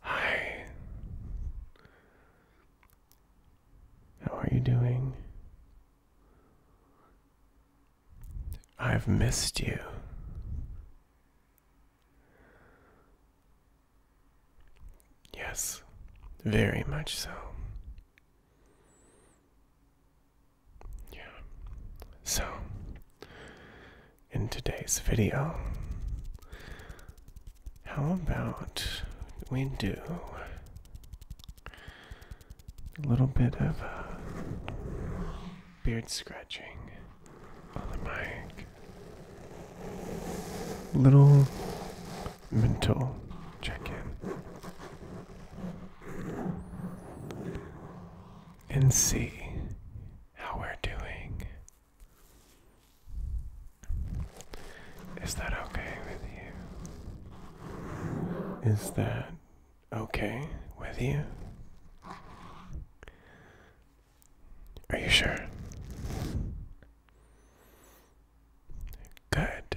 Hi. How are you doing? I've missed you. Yes, very much so. Yeah. So, in today's video, how about we do a little bit of uh, beard scratching on the mic? Little mental check in and see how we're doing. Is that okay with you? Is that okay with you? Are you sure? Good.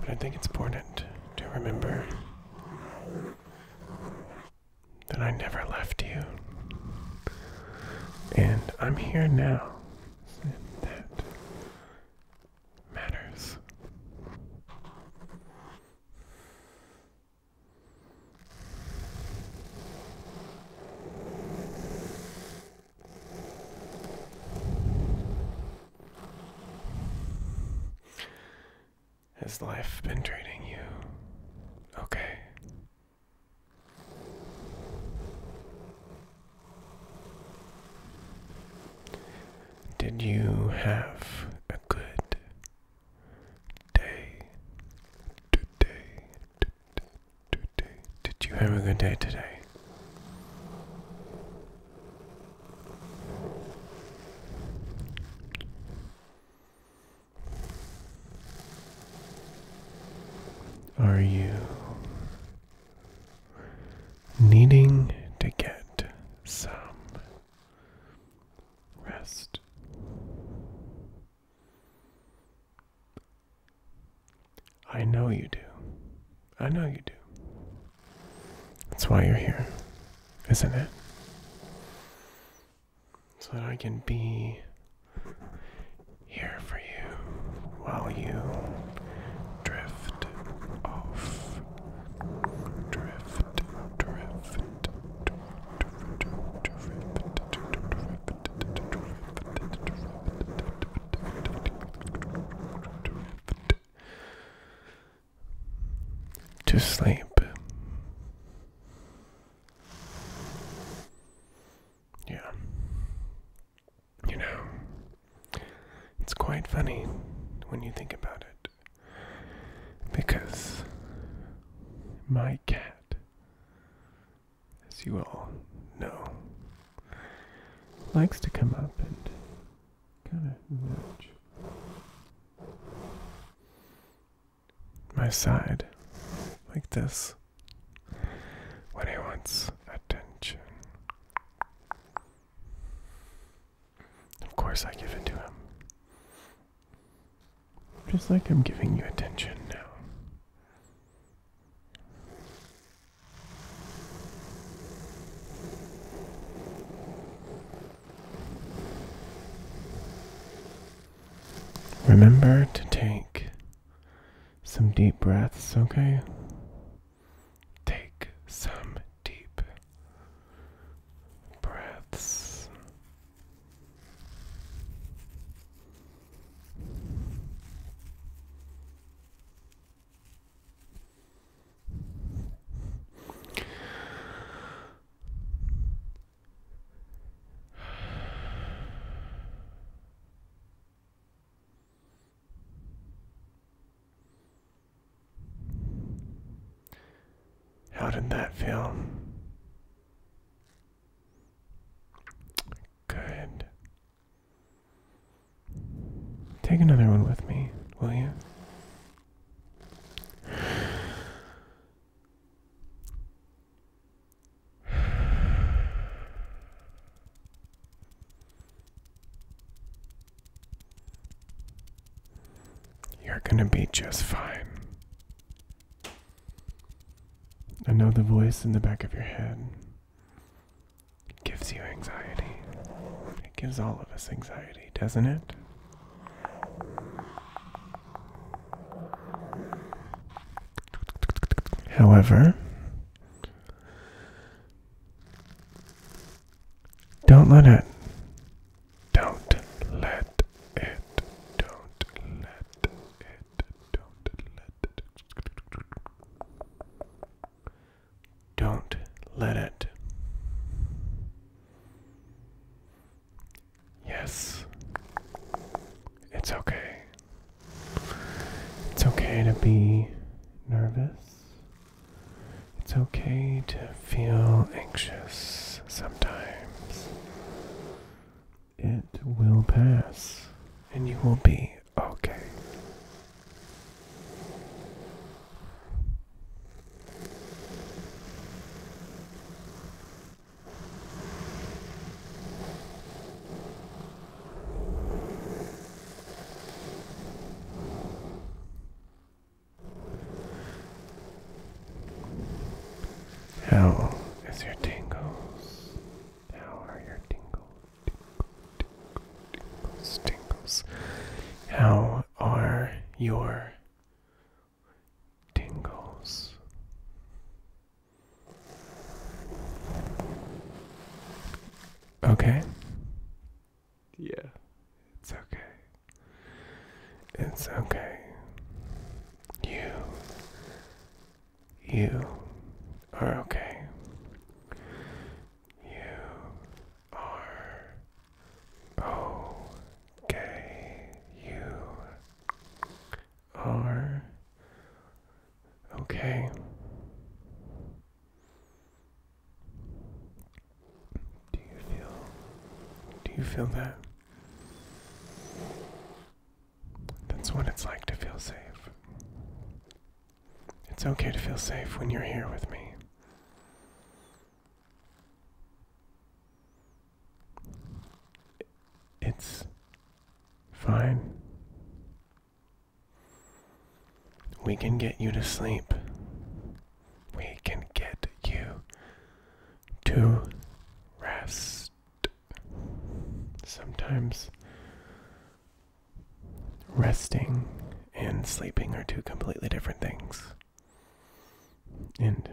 But I think it's important to remember that I never left you. And I'm here now. And that matters. Has life been treating you okay? Did you have a good day today? Today, Did you have a good day today? Are you needing to get some rest? I know you do. I know you do. That's why you're here, isn't it? So that I can be here for you while you drift off to sleep. Yeah. You know, it's quite funny when you think about it. Because my cat, as you all know, likes to come up and kind of nudge my side like this when he wants attention. Of course, I give it to him. Just like I'm giving you attention now. Remember to take some deep breaths, okay? Take some deep breaths. How did that feel? Good. Take another one with me, will you? You're gonna be just fine. I know the voice in the back of your head. It gives you anxiety. It gives all of us anxiety, doesn't it? However, don't let it. Don't let it. Don't let it. Don't let it. Don't let it. Yes. It's okay. It's okay to be nervous. It's okay to feel anxious sometimes. It will pass, and you will be okay. How is your tingles? How are your tingles? tingles, How are your tingles? Okay. Yeah, it's okay. It's okay. You. You are okay. You R O K U R. Okay. Do you feel do you feel that? That's what it's like to feel safe. It's okay to feel safe when you're here with me. It's fine. We can get you to sleep. We can get you to rest. Sometimes resting and sleeping are two completely different things. And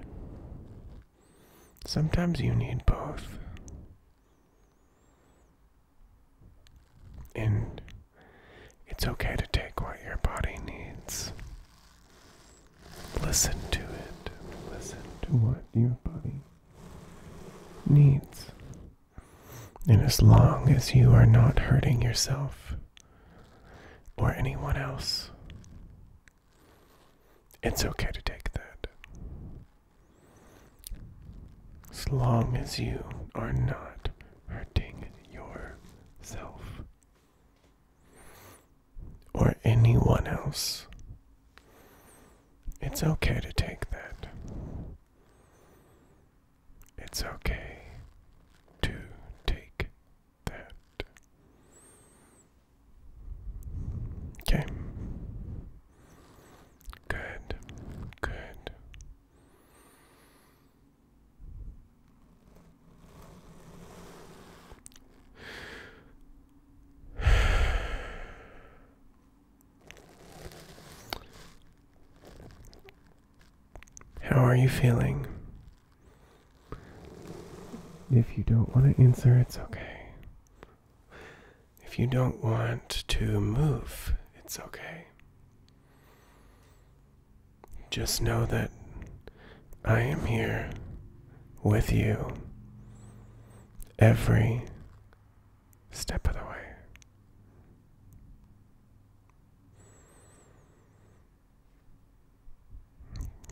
sometimes you need both. And it's okay to take what your body needs. Listen to it. Listen to what your body needs. And as long as you are not hurting yourself or anyone else, it's okay to take that. As long as you are not hurting yourself or anyone else, it's okay to take that. It's okay to take that. Okay. Good. Good. How are you feeling? If you don't want to answer, it's okay. If you don't want to move, it's okay. Just know that I am here with you every step of the way.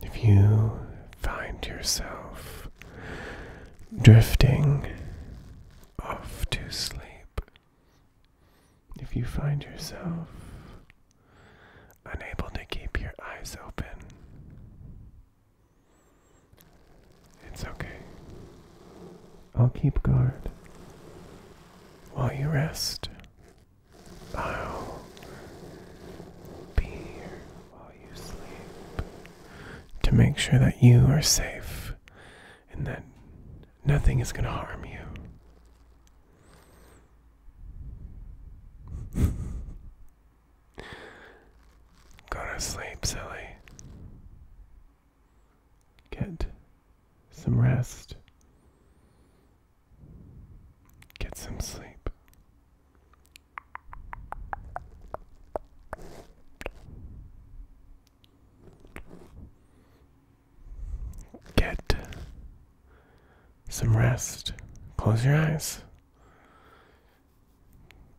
If you find yourself drifting off to sleep, if you find yourself unable to keep your eyes open, it's okay. I'll keep guard while you rest. I'll be here while you sleep to make sure that you are safe and that nothing is going to harm you. Go to sleep, silly. Get some rest. Get some sleep. Get some rest. Close your eyes.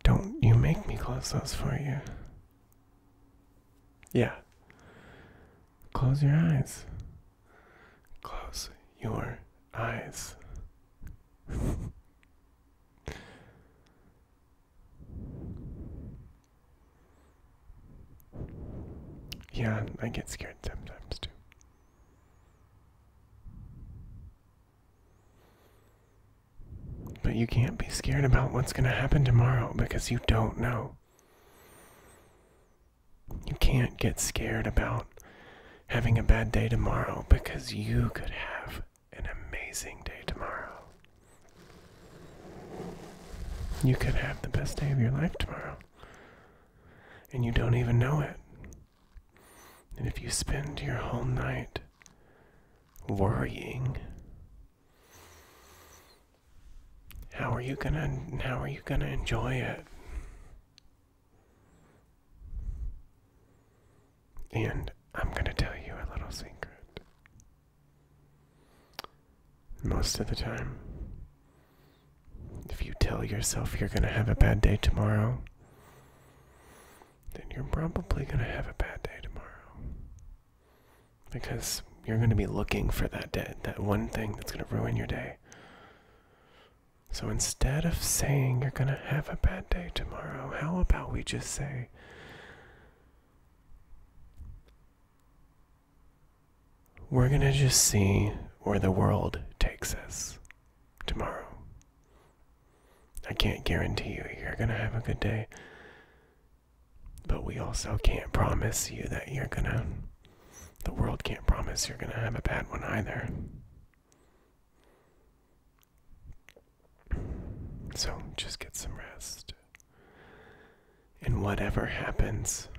Don't you make me close those for you. Yeah. Close your eyes. Close your eyes. yeah, I get scared sometimes too. But you can't be scared about what's going to happen tomorrow because you don't know. You can't get scared about having a bad day tomorrow because you could have an amazing day tomorrow. You could have the best day of your life tomorrow. And you don't even know it. And if you spend your whole night worrying, how are you gonna how are you gonna enjoy it? And I'm gonna tell you a little secret. Most of the time, if you tell yourself you're gonna have a bad day tomorrow, then you're probably gonna have a bad day tomorrow because you're going to be looking for that dead, that one thing that's going to ruin your day. So instead of saying you're going to have a bad day tomorrow, how about we just say, we're going to just see where the world takes us tomorrow. I can't guarantee you you're going to have a good day. But we also can't promise you that you're gonna, the world can't promise you're gonna have a bad one either. So just get some rest. And whatever happens,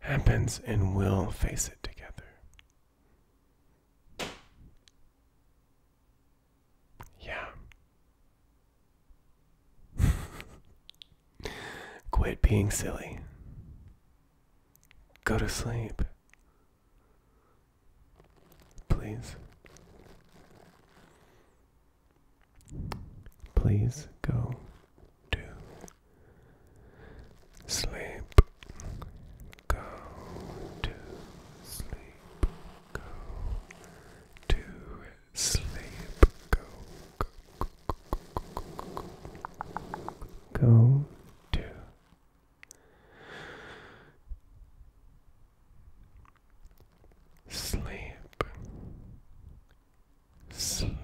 happens, and we'll face it together. Yeah, Quit being silly. Go to sleep. Please. Please go to sleep. Go to sleep. Go to sleep. Go, go, go, go, go, go, go. go sleep, sleep.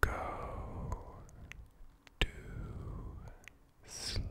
Go to sleep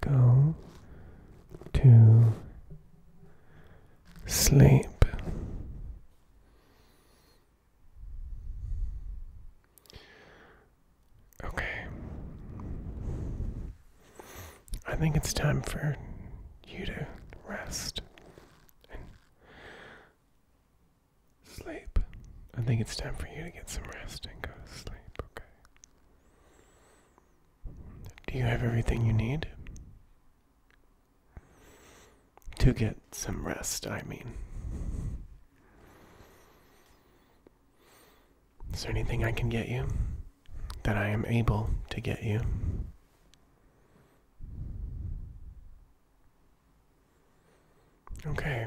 go to sleep. Okay. I think it's time for you to rest and sleep. I think it's time for you to get some rest and go to sleep, okay? Do you have everything you need? To get some rest, I mean. Is there anything I can get you? That I am able to get you? Okay.